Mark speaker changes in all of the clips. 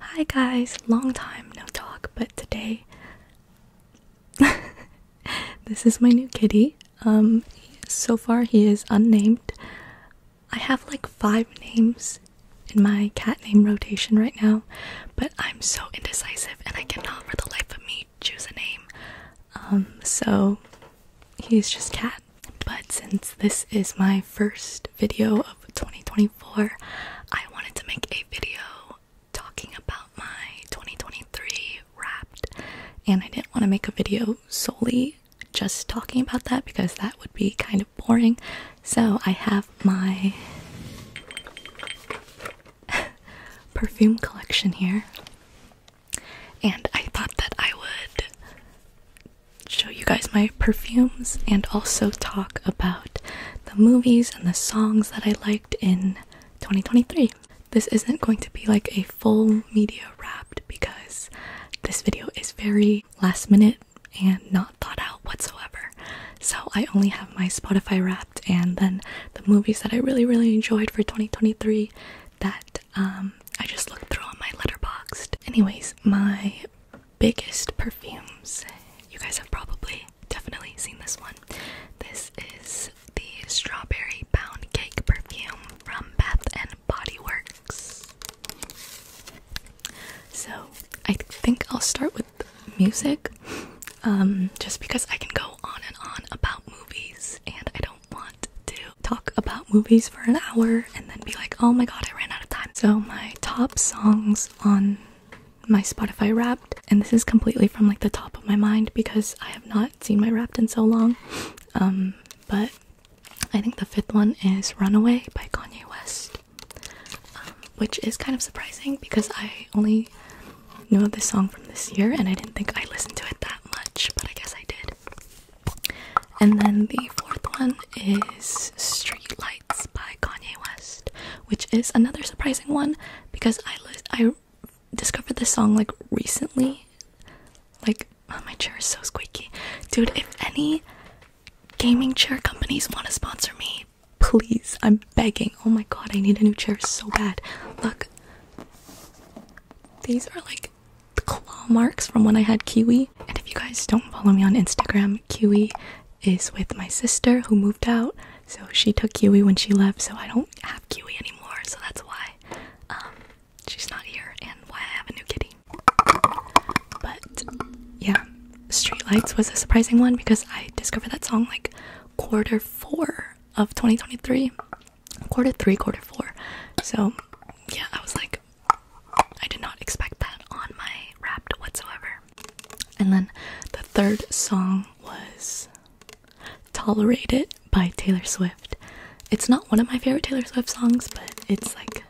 Speaker 1: Hi guys, long time no talk, but today this is my new kitty. Um so far he is unnamed. I have like 5 names in my cat name rotation right now, but I'm so indecisive and I cannot for the life of me choose a name. Um so he's just cat. But since this is my first video 2024, I wanted to make a video talking about my 2023 wrapped, and I didn't want to make a video solely just talking about that because that would be kind of boring. So I have my perfume collection here, and I thought that I would show you guys my perfumes and also talk about the movies and the songs that I liked in 2023. This isn't going to be like a full media wrapped because this video is very last minute and not thought out whatsoever. So I only have my Spotify wrapped and then the movies that I really really enjoyed for 2023 that um, I just looked through on my letterboxed. Anyways, my biggest perfumes. You guys have probably definitely seen this one. This is the strawberry pound cake perfume from Bath and Body Works. So I think I'll start with music, um, just because I can go on and on about movies, and I don't want to talk about movies for an hour and then be like, oh my god, I ran out of time. So my top songs on my Spotify wrapped, and this is completely from like the top of my mind because I have not seen my wrapped in so long. Um, but I think the fifth one is Runaway by Kanye West, um, which is kind of surprising because I only knew of this song from this year and I didn't think I listened to it that much, but I guess I did. And then the fourth one is Street Lights by Kanye West, which is another surprising one because I I discovered this song like recently. Like, oh, my chair is so squeaky. Dude, if any gaming chair companies want to sponsor me, please, I'm begging. Oh my god, I need a new chair so bad. Look, these are like the claw marks from when I had Kiwi. And if you guys don't follow me on Instagram, Kiwi is with my sister who moved out. So she took Kiwi when she left, so I don't have Kiwi anymore. So that's why um, she's not here and why I have a new kitty. But yeah, Street Lights was a surprising one because I discovered that song like quarter four of 2023. Quarter three, quarter four. So yeah, I was like, I did not expect that on my wrapped whatsoever. And then the third song was "Tolerated" by Taylor Swift. It's not one of my favorite Taylor Swift songs, but it's like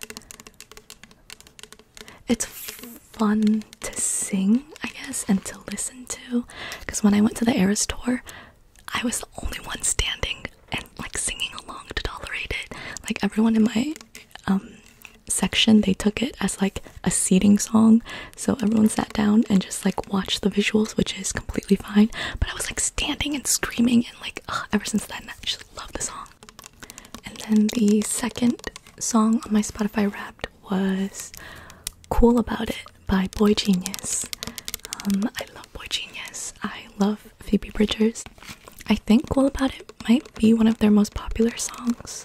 Speaker 1: it's fun to sing, I guess, and to listen to. Because when I went to the Eras tour, I was the only one standing and like singing along to "Tolerated." Like everyone in my um section they took it as like a seating song so everyone sat down and just like watched the visuals which is completely fine but i was like standing and screaming and like ever since then i just love the song and then the second song on my spotify wrapped was cool about it by boy genius um i love boy genius i love phoebe bridgers i think cool about it might be one of their most popular songs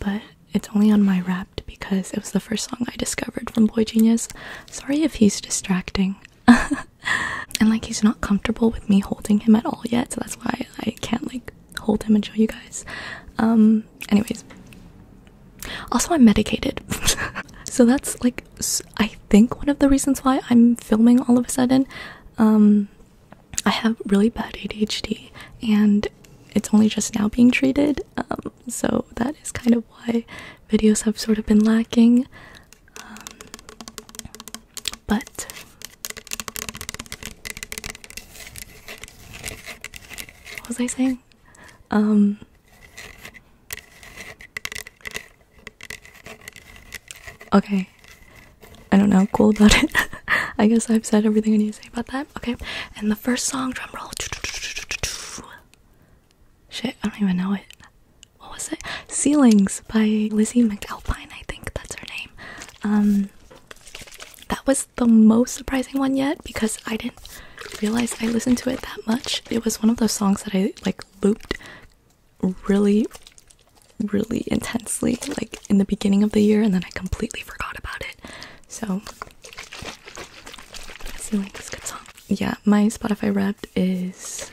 Speaker 1: but it's only on my Wrapped because it was the first song I discovered from Boy Genius. Sorry if he's distracting. and like he's not comfortable with me holding him at all yet, so that's why I can't like hold him and show you guys. Um anyways. Also I'm medicated. so that's like I think one of the reasons why I'm filming all of a sudden. Um I have really bad ADHD and it's only just now being treated, um, so that is kind of why videos have sort of been lacking. Um, but what was I saying? Um, okay, I don't know, cool about it. I guess I've said everything I need to say about that. Okay, and the first song, drum roll. Shit, I don't even know it. What was it? Ceilings by Lizzie McAlpine, I think that's her name. Um, that was the most surprising one yet because I didn't realize I listened to it that much. It was one of those songs that I like looped really, really intensely, like in the beginning of the year, and then I completely forgot about it. So Yeah, my Spotify Wrapped is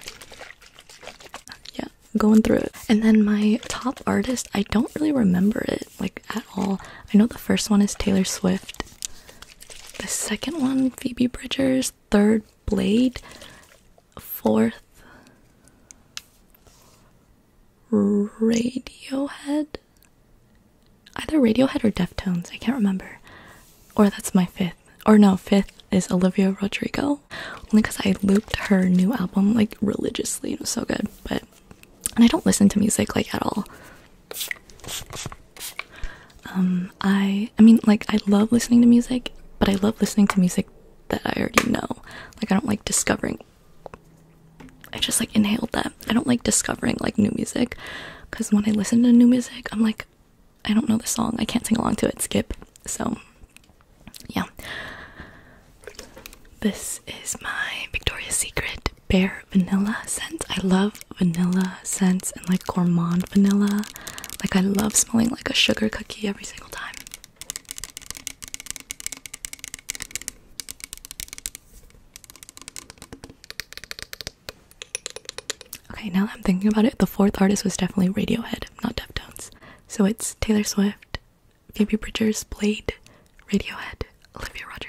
Speaker 1: yeah, going through it. And then my top artist, I don't really remember it like at all. I know the first one is Taylor Swift. The second one, Phoebe Bridgers. Third, Blade. Fourth, Radiohead? Either Radiohead or Deftones, I can't remember. Or that's my fifth. Or no, fifth is Olivia Rodrigo. Only because I looped her new album like religiously. It was so good. But and I don't listen to music like at all. Um, I I mean like I love listening to music, but I love listening to music that I already know. Like I don't like discovering I just like inhaled them. I don't like discovering like new music because when I listen to new music, I'm like, I don't know the song. I can't sing along to it. Skip. So, yeah. This is my Victoria's Secret Bear Vanilla scent. I love vanilla scents and like gourmand vanilla. Like, I love smelling like a sugar cookie every single time. Okay, now that I'm thinking about it, the fourth artist was definitely Radiohead, not Deftones. So it's Taylor Swift, Phoebe Bridgers, Blade, Radiohead, Olivia Rodrigo.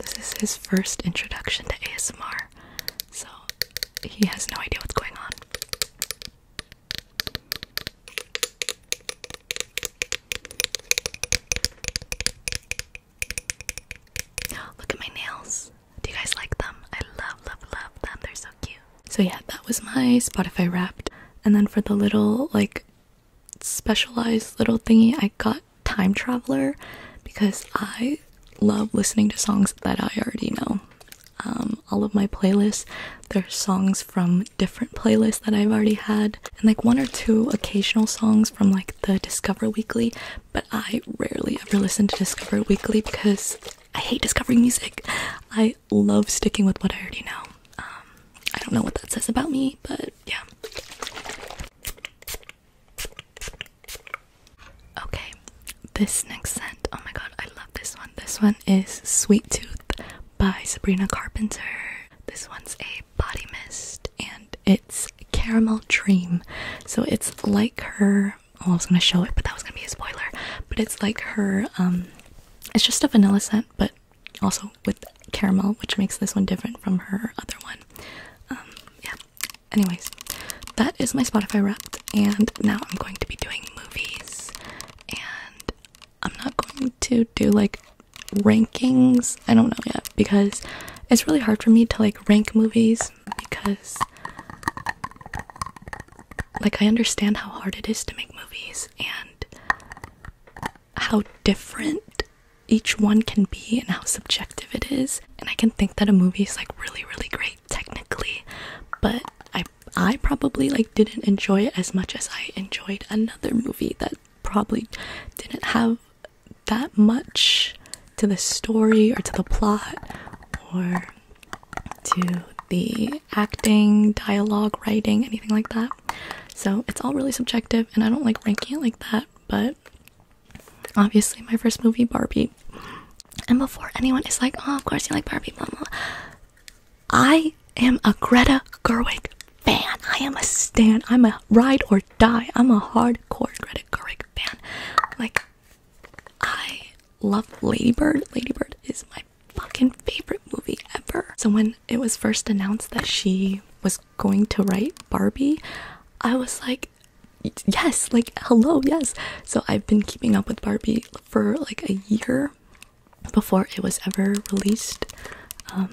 Speaker 1: This is his first introduction to ASMR, so he has no idea what's going on. Look at my nails. Do you guys like them? I love, love, love them. They're so cute. So yeah, that was my Spotify Wrapped. And then for the little like specialized little thingy I got Time Traveler because I love listening to songs that I already know. Um, all of my playlists, they're songs from different playlists that I've already had, and like one or two occasional songs from like the Discover Weekly. But I rarely ever listen to Discover Weekly because I hate discovering music. I love sticking with what I already know. Um, I don't know what that says about me, but yeah. Okay, this next scent. Oh my god, I love this one. This one is Sweet Tooth by Sabrina Carpenter. This one's a body mist and it's Caramel Dream. So it's like her. Oh, I was gonna show it, but that was gonna be a spoiler. But it's like her, um, it's just a vanilla scent, but also with caramel, which makes this one different from her other one. Um, yeah. Anyways, that is my Spotify Wrapped, and now I'm going to be doing movies, and I'm not going to do like rankings. I don't know yet because it's really hard for me to like rank movies because like I understand how hard it is to make movies and how different each one can be and how subjective it is. And I can think that a movie is like really, really great technically, but I I probably like didn't enjoy it as much as I enjoyed another movie that probably didn't have that much to the story or to the plot or to the acting, dialogue, writing, anything like that. So it's all really subjective and I don't like ranking it like that, but obviously my first movie, Barbie. And before anyone is like, oh, of course you like Barbie, blah, blah. I am a Greta Gerwig fan. I am a stan. I'm a ride or die. I'm a hardcore Greta Gerwig fan. Like, I love Ladybird. Ladybird is my fucking favorite movie ever. So when it was first announced that she was going to write Barbie, I was like, yes, like, hello, yes. So I've been keeping up with Barbie for like a year before it was ever released. Um,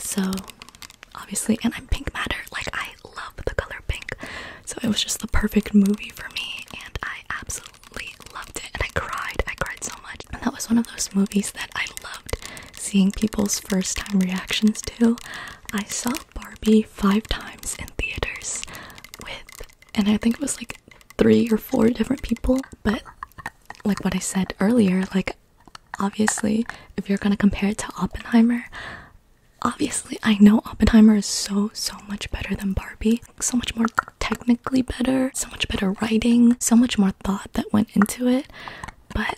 Speaker 1: so obviously, and I'm Pink Matter, like, I love the color pink. So it was just the perfect movie for me, and I absolutely loved it. And I cried, I cried so much. And that was one of those movies that I loved seeing people's first time reactions to. I saw Barbie five times in theaters with, and I think it was like three or four different people. But like what I said earlier, like obviously, if you're gonna compare it to Oppenheimer, obviously I know Oppenheimer is so, so much better than Barbie. So much more technically better, so much better writing, so much more thought that went into it. But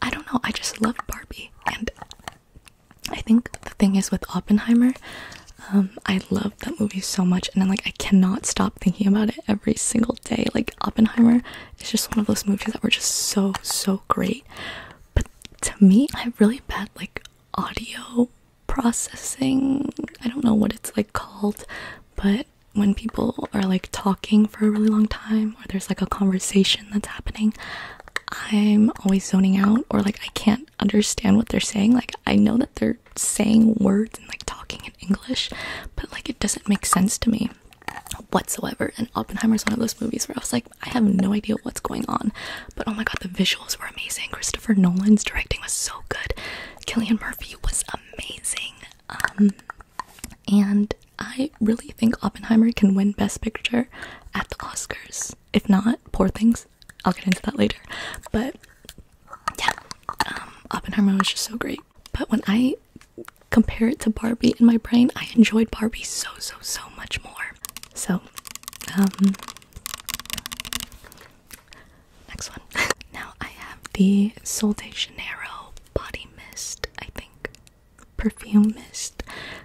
Speaker 1: I don't know, I just love Barbie. And I think the thing is with Oppenheimer, um, I love that movie so much, and then like I cannot stop thinking about it every single day. Like Oppenheimer is just one of those movies that were just so so great. But to me, I have really bad like audio processing. I don't know what it's like called, but when people are like talking for a really long time or there's like a conversation that's happening, I'm always zoning out or like I can't understand what they're saying. Like I know that they're saying words and like talking in English, but like it doesn't make sense to me whatsoever. And Oppenheimer is one of those movies where I was like, I have no idea what's going on. But oh my god, the visuals were amazing. Christopher Nolan's directing was so good. Killian Murphy was amazing. Um and I really think Oppenheimer can win Best Picture at the Oscars. If not, poor things. I'll get into that later. But yeah, um, Oppenheimer was just so great. But when I compare it to Barbie in my brain, I enjoyed Barbie so, so, so much more. So, um, next one. now I have the Sol de Janeiro Body Mist, I think perfume mist.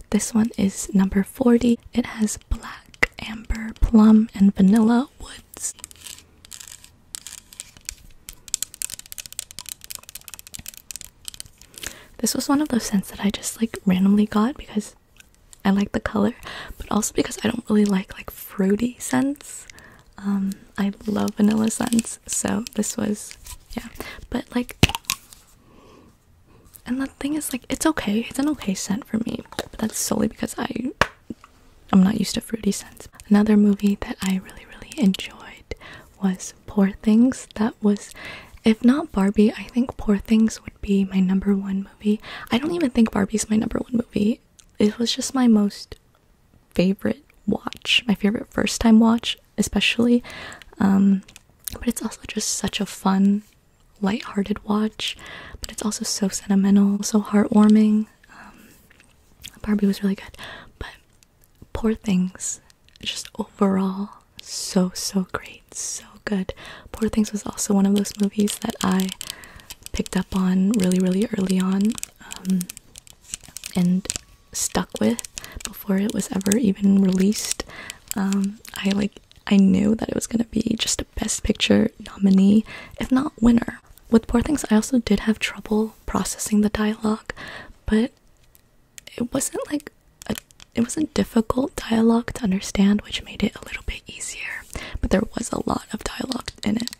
Speaker 1: This one is number 40. It has black, amber, plum, and vanilla woods. This was one of those scents that I just like randomly got because I like the color, but also because I don't really like like fruity scents. Um, I love vanilla scents, so this was yeah. But like and the thing is like it's okay. It's an okay scent for me. But that's solely because I I'm not used to fruity scents. Another movie that I really really enjoyed was Poor Things. That was if not Barbie, I think Poor Things would be my number one movie. I don't even think Barbie's my number one movie. It was just my most favorite watch, my favorite first time watch especially um but it's also just such a fun light-hearted watch but it's also so sentimental so heartwarming um barbie was really good but poor things just overall so so great so good poor things was also one of those movies that i picked up on really really early on um, and stuck with before it was ever even released. Um, I like I knew that it was gonna be just a best picture nominee, if not winner. With Poor Things, I also did have trouble processing the dialogue, but it wasn't like a, it wasn't difficult dialogue to understand, which made it a little bit easier. But there was a lot of dialogue in it,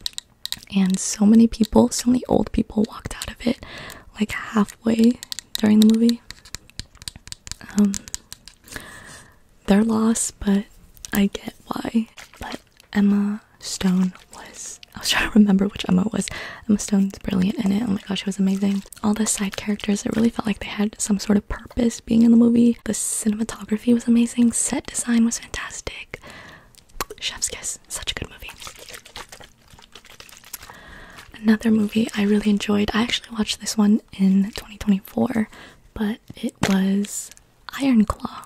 Speaker 1: and so many people, so many old people walked out of it like halfway during the movie. Um, they're lost, but I get why. But Emma Stone was. I was trying to remember which Emma was. Emma Stone's brilliant in it. Oh my gosh, it was amazing. All the side characters, it really felt like they had some sort of purpose being in the movie. The cinematography was amazing, set design was fantastic. Chef's Kiss, such a good movie. Another movie I really enjoyed, I actually watched this one in 2024, but it was Iron Claw.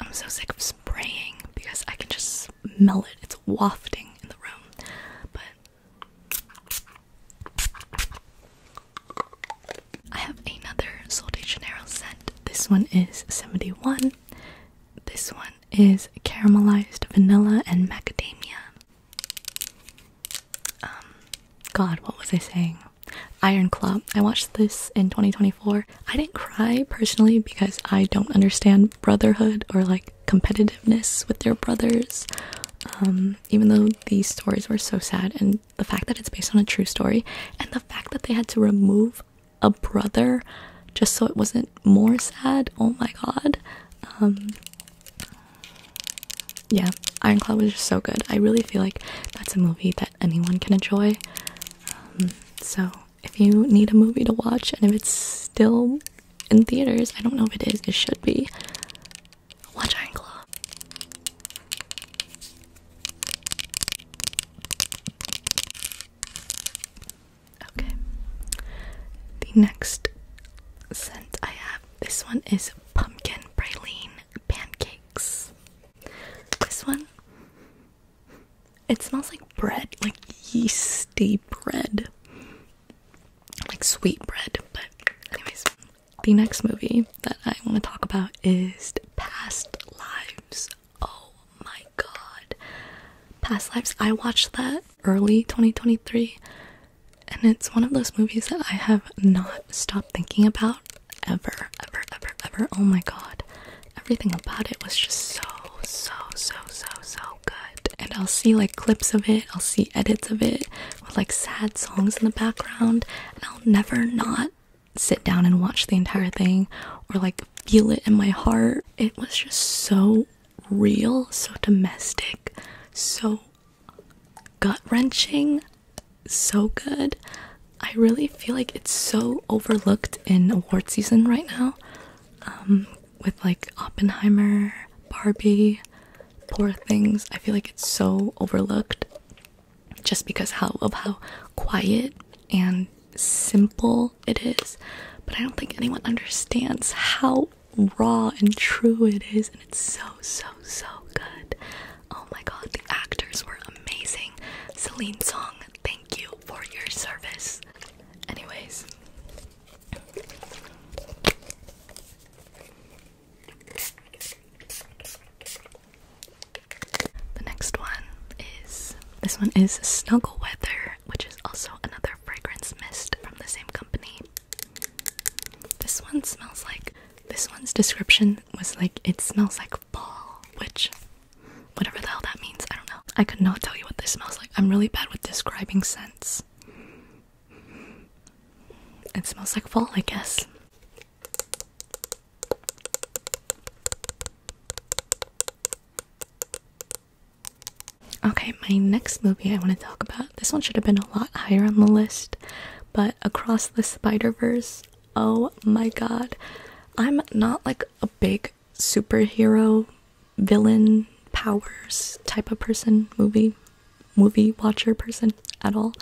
Speaker 1: I'm so sick of spraying because I can just smell it, it's wafting in the room. But I have another Sol de Janeiro scent. This one is 71. This one is caramelized vanilla and macadamia. Um, God, what was I saying? Iron Club. I watched this in 2024. I didn't cry personally because I don't understand brotherhood or like competitiveness with their brothers. Um, even though these stories were so sad, and the fact that it's based on a true story, and the fact that they had to remove a brother just so it wasn't more sad. Oh my god. Um Yeah, Ironclad was just so good. I really feel like that's a movie that anyone can enjoy. Um, so if you need a movie to watch and if it's still in theaters, I don't know if it is, it should be. Watch Ironclaw. Okay. The next scent I have, this one is pumpkin praline pancakes. This one, it smells like bread, like yeasty bread, like sweet bread. But, anyways, the next movie that I want to talk about is Past Lives. Oh my god. Past Lives, I watched that early 2023, and it's one of those movies that I have not stopped thinking about ever, ever, ever, ever. Oh my god, everything about it was just so, so, so, so, so good. And I'll see like clips of it, I'll see edits of it with like sad songs in the background, and I'll never not sit down and watch the entire thing or like feel it in my heart. It was just so real, so domestic, so gut wrenching, so good. I really feel like it's so overlooked in award season right now. Um, with like Oppenheimer, Barbie, Poor Things, I feel like it's so overlooked just because how of how quiet and simple it is, but I don't think anyone understands how raw and true it is, and it's so, so, so good. Oh my god, the actors were amazing. Celine Song, thank you for your service. Anyways. The next one is this one is Snuggle Weather which is also another fragrance mist from the same company. This one smells like this one's description was like it smells like fall, which whatever the hell that means, I don't know. I could not tell you what this smells like. I'm really bad with describing scents. It smells like fall, I guess. Okay, my next movie I want to talk about. This one should have been a lot higher on the list, but Across the Spider Verse. Oh my god. I'm not like a big superhero, villain, powers type of person, movie, movie watcher person at all.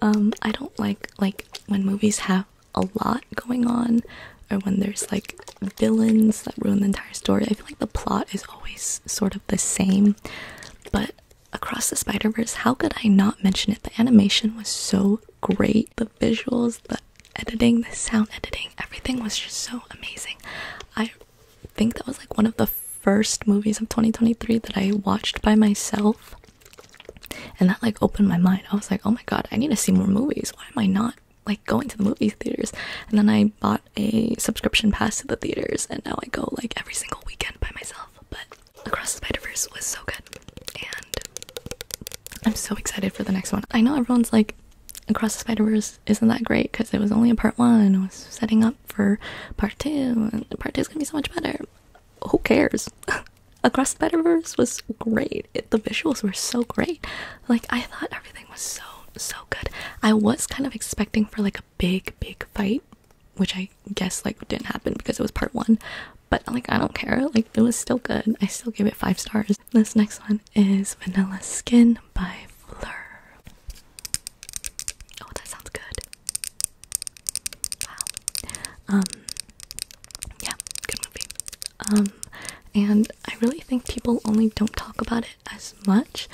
Speaker 1: Um, I don't like like when movies have a lot going on or when there's like villains that ruin the entire story. I feel like the plot is always sort of the same, but across the Spider-Verse, how could I not mention it? The animation was so great. The visuals, the editing, the sound editing, everything was just so amazing. I think that was like one of the first movies of 2023 that I watched by myself. And that like opened my mind. I was like, oh my god, I need to see more movies. Why am I not like going to the movie theaters and then i bought a subscription pass to the theaters and now i go like every single weekend by myself but across the spider-verse was so good and i'm so excited for the next one i know everyone's like across the spider-verse isn't that great because it was only a part one it was setting up for part two and part two is gonna be so much better who cares across the spider-verse was great the visuals were so great like I thought everything was so so good. I was kind of expecting for like a big big fight, which I guess like didn't happen because it was part 1, but like I don't care. Like it was still good. I still gave it 5 stars. This next one is Vanilla Skin by Fleur. Oh, that sounds good. Wow. Um yeah, good movie. Um and I really think people only don't talk about it as much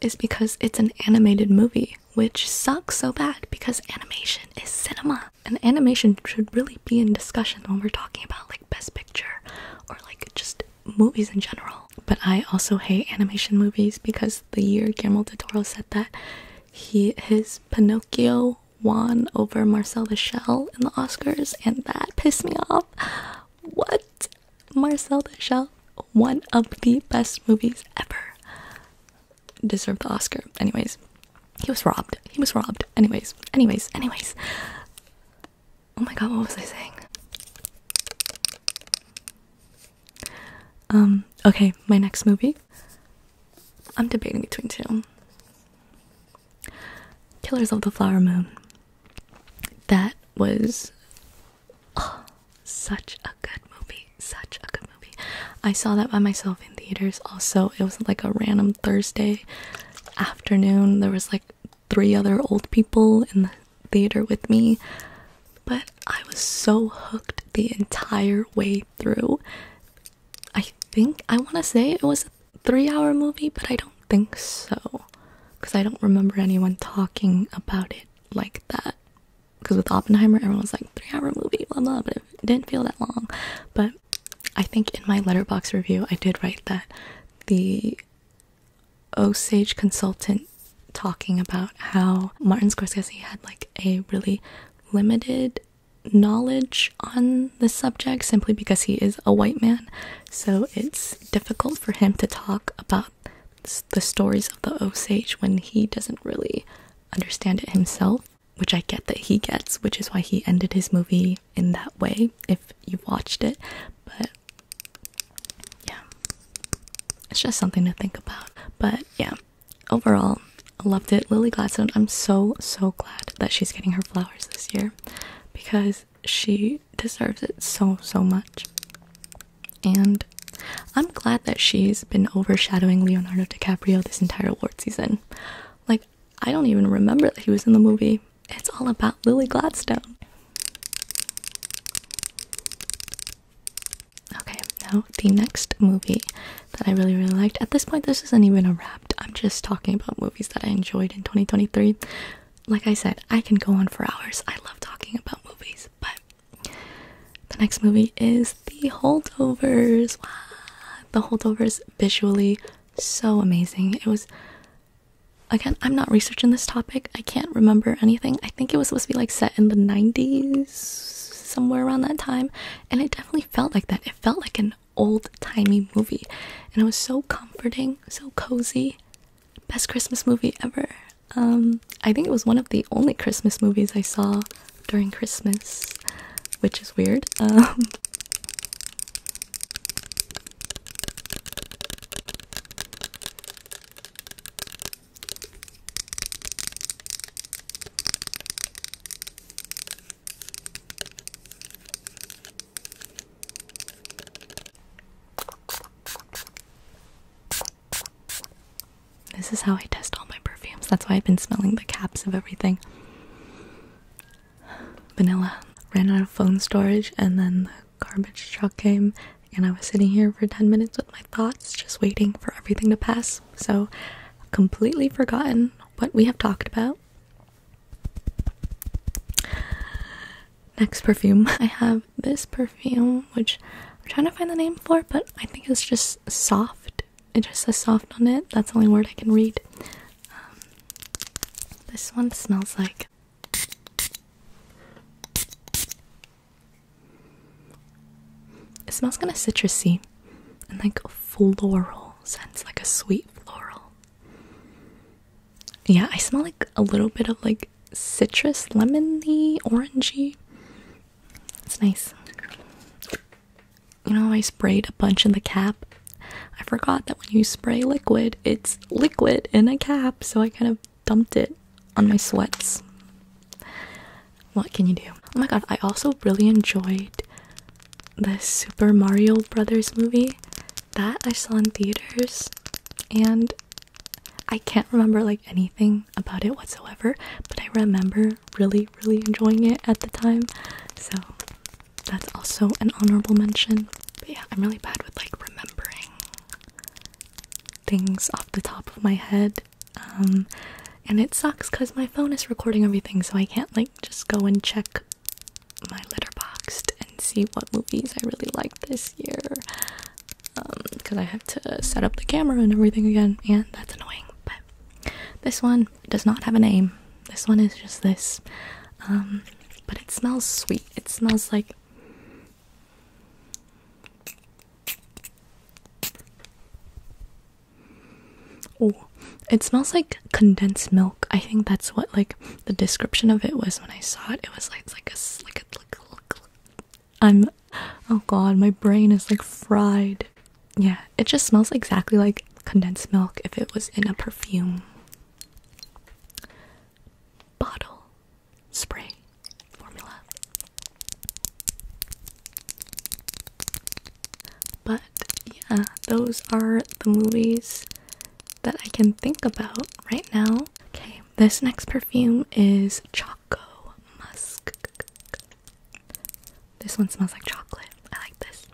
Speaker 1: is because it's an animated movie, which sucks so bad because animation is cinema. And animation should really be in discussion when we're talking about like best picture or like just movies in general. But I also hate animation movies because the year Guillermo del Toro said that he his Pinocchio won over Marcel the Shell in the Oscars and that pissed me off. What? Marcel the Shell, one of the best movies ever. Deserved the Oscar. Anyways, he was robbed. He was robbed. Anyways, anyways, anyways. Oh my god, what was I saying? Um, okay, my next movie. I'm debating between two. Killers of the Flower Moon. That was Oh, such a good movie. Such a good movie. I saw that by myself in theaters also. It was like a random Thursday afternoon. There was like three other old people in the theater with me. But I was so hooked the entire way through. I think I want to say it was a 3-hour movie, but I don't think so because I don't remember anyone talking about it like that. Because with Oppenheimer, everyone was like, three hour movie, blah blah, but it didn't feel that long. But I think in my letterbox review, I did write that the Osage consultant talking about how Martin Scorsese had like a really limited knowledge on the subject simply because he is a white man. So it's difficult for him to talk about the stories of the Osage when he doesn't really understand it himself, which I get that he gets, which is why he ended his movie in that way if you watched it. But yeah, it's just something to think about. But yeah, overall, loved it. Lily Gladstone, I'm so so glad that she's getting her flowers this year because she deserves it so, so much. And I'm glad that she's been overshadowing Leonardo DiCaprio this entire award season. Like, I don't even remember that he was in the movie. It's all about Lily Gladstone. Okay, now the next movie that I really, really liked. At this point, this isn't even a wrap. I'm just talking about movies that I enjoyed in 2023. Like I said, I can go on for hours. I love talking about movies. But the next movie is The Holdovers. The Holdovers visually so amazing. It was again, I'm not researching this topic. I can't remember anything. I think it was supposed to be like set in the 90s, somewhere around that time, and it definitely felt like that. It felt like an old-timey movie, and it was so comforting, so cozy best Christmas movie ever. Um, I think it was one of the only Christmas movies I saw during Christmas, which is weird. Um, this is how I test all my perfumes. That's why I've been smelling the caps of everything. Vanilla. Ran out of phone storage, and then the garbage truck came, and I was sitting here for 10 minutes with my thoughts, just waiting for everything to pass. So, completely forgotten what we have talked about. Next perfume I have this perfume, which I'm trying to find the name for, but I think it's just soft. It just says soft on it. That's the only word I can read. Um, this one smells like. It smells kind of citrusy and like floral scents, like a sweet floral. Yeah, I smell like a little bit of like citrus, lemony, orangey. It's nice. You know, I sprayed a bunch in the cap. I forgot that when you spray liquid, it's liquid in a cap, so I kind of dumped it on my sweats. What can you do? Oh my god, I also really enjoyed the Super Mario Brothers movie that I saw in theaters, and I can't remember like anything about it whatsoever, but I remember really, really enjoying it at the time. So that's also an honorable mention. But yeah, I'm really bad with like remembering things off the top of my head. Um, and it sucks because my phone is recording everything, so I can't like just go and check my letterboxed and see what movies I really liked this this year um, because I have to set up the camera and everything again, and that's annoying. But this one does not have a name. This one is just this. Um, but it smells sweet. It smells like Oh, it smells like condensed milk. I think that's what like the description of it was when I saw it. It was like it's like a I'm oh god, my brain is like fried. Yeah, it just smells exactly like condensed milk if it was in a perfume bottle spray formula. But yeah, those are the movies that I can think about right now. Okay, this next perfume is Choco Musk. This one smells like chocolate. I like this.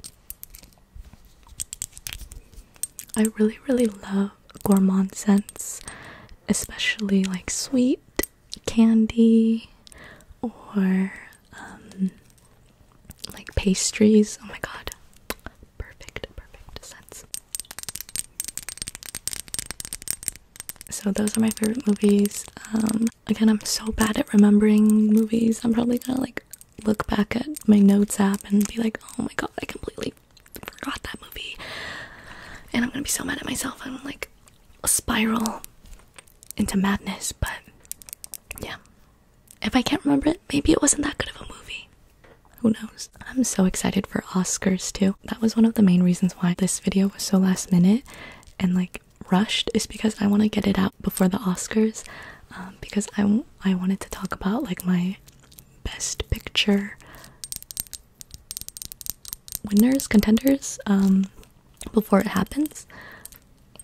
Speaker 1: I really, really love gourmand scents, especially like sweet candy or um, like pastries. Oh my god, perfect, perfect scents. So those are my favorite movies. Um, again, I'm so bad at remembering movies. I'm probably gonna like look back at my notes app and be like, oh my god, I completely forgot that movie. And I'm gonna be so mad at myself. I'm like a spiral into madness. But yeah, if I can't remember it, maybe it wasn't that good of a movie. Who knows? I'm so excited for Oscars too. That was one of the main reasons why this video was so last minute and like rushed is because I want to get it out before the Oscars um, because I, I wanted to talk about like my best picture winners, contenders um, before it happens.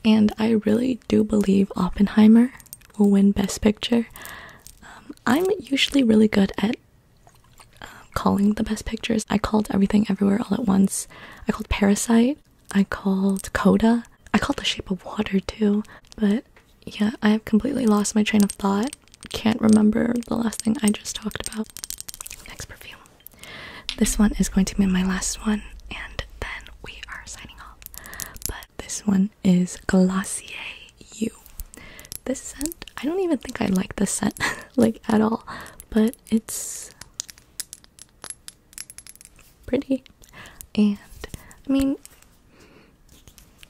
Speaker 1: And I really do believe Oppenheimer will win Best Picture. Um, I'm usually really good at uh, calling the best pictures. I called Everything Everywhere All at Once. I called Parasite. I called Coda. I called The Shape of Water too. But yeah, I have completely lost my train of thought. Can't remember the last thing I just talked about. Next perfume. This one is going to be my last one, and then we are signing off. But this one is Glacier You this scent, I don't even think I like this scent like at all, but it's pretty. And I mean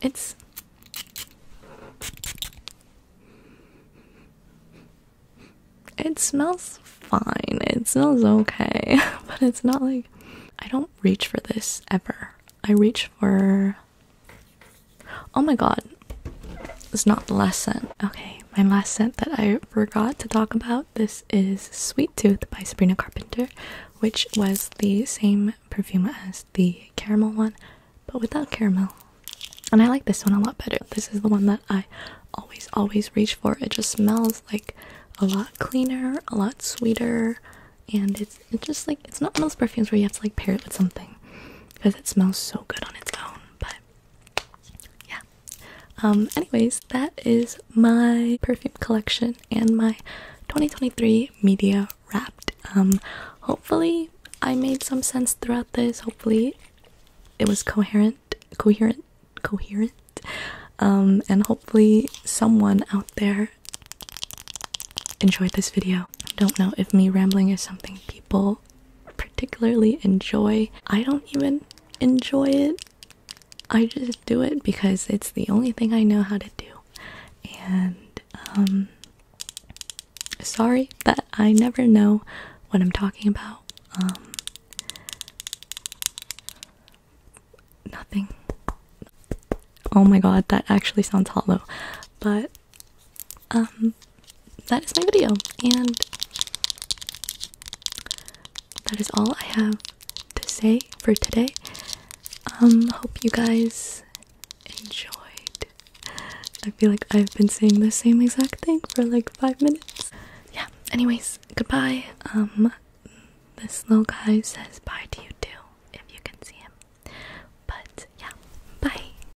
Speaker 1: it's it smells fine. It smells okay, but it's not like I don't reach for this ever. I reach for Oh my god. It's not the last scent. Okay, my last scent that I forgot to talk about. This is Sweet Tooth by Sabrina Carpenter, which was the same perfume as the caramel one, but without caramel. And I like this one a lot better. This is the one that I always, always reach for. It just smells like a lot cleaner, a lot sweeter, and it's, it's just like it's not one of those perfumes where you have to like pair it with something because it smells so good on its own. But yeah. Um, anyways, that is my perfume collection and my 2023 media wrapped. Um, hopefully, I made some sense throughout this. Hopefully, it was coherent, coherent, coherent. Um, and hopefully, someone out there enjoyed this video. I don't know if me rambling is something people particularly enjoy. I don't even enjoy it. I just do it because it's the only thing I know how to do. And um sorry that I never know what I'm talking about. Um nothing. Oh my god, that actually sounds hollow. But um, that is my video, and that is all I have to say for today. Um, hope you guys enjoyed. I feel like I've been saying the same exact thing for like five minutes. Yeah, anyways, goodbye. Um, this little guy says bye to you too, if you can see him. But yeah, bye.